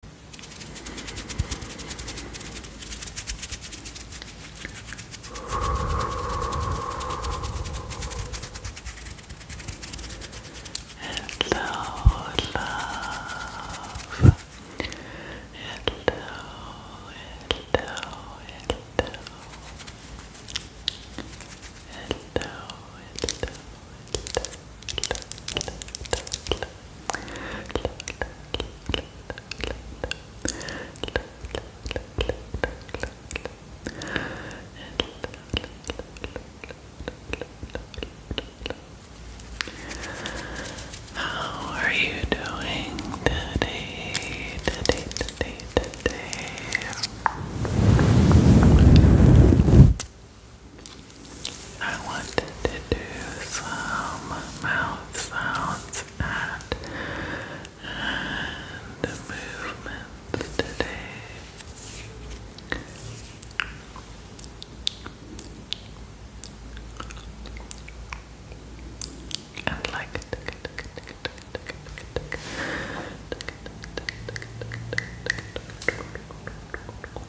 Hello, love. Hello, hello, hello. Hello, hello. How are you doing today? Today, today, today. I wanted to do some mouth sounds and and movements today. And like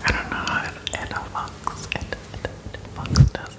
I don't know how it, it, it, it,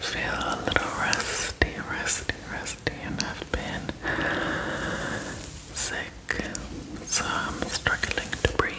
Feel a little rusty, rusty, rusty, and I've been sick, so I'm struggling to breathe.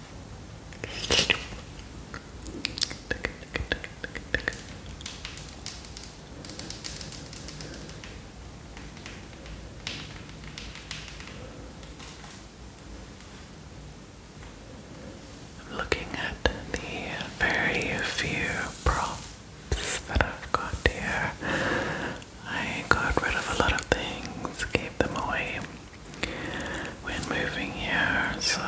I'm looking at the very few props that I've got here. I got rid of a lot of things, gave them away when moving here, so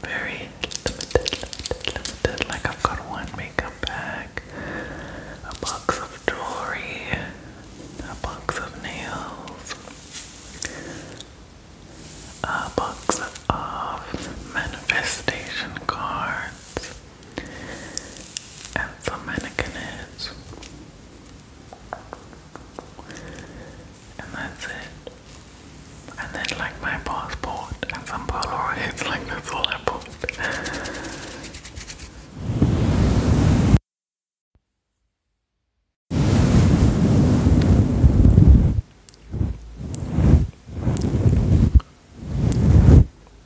very limited, limited, limited. Like I've got one makeup bag, a box of jewelry, a box of nails, a box of manifestation cards. Aflaminic and heads. And that's it. And then like my passport and some Polaroids, like that's I bought.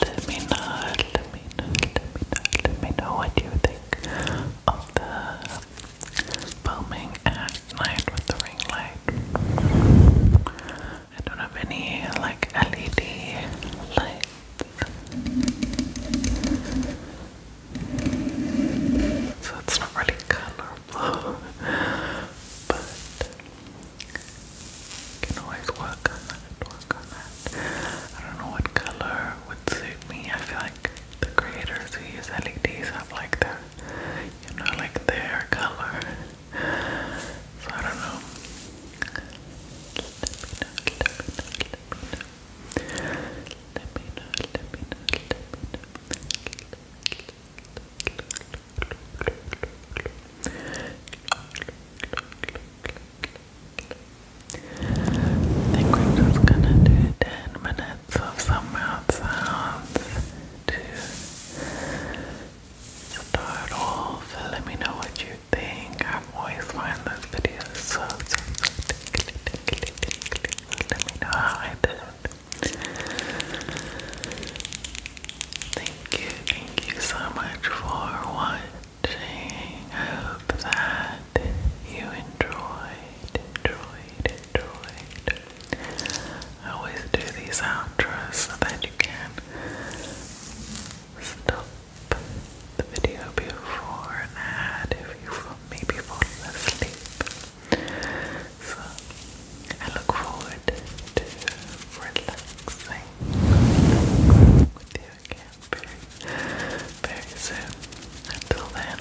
Let me know, let me know, let me know, let me know what you think of the Filming at night with the ring light. I don't have any like LED lights. So it's not really colorful. but can always work on that, work on that. I don't know what color would suit me. I feel like the creators who use LEDs have like their you know, like their color. So I don't know. I think we're just gonna do ten minutes bits of some mouth sounds to start off. Let me know what you think. I always find those videos so, so, so let me know how I did. Thank you, thank you so much for watching. I hope that you enjoyed, I always do these outros so that you can stop the video before and add if you feel maybe fall asleep. So I look forward to relaxing with you again very, very soon. Until then,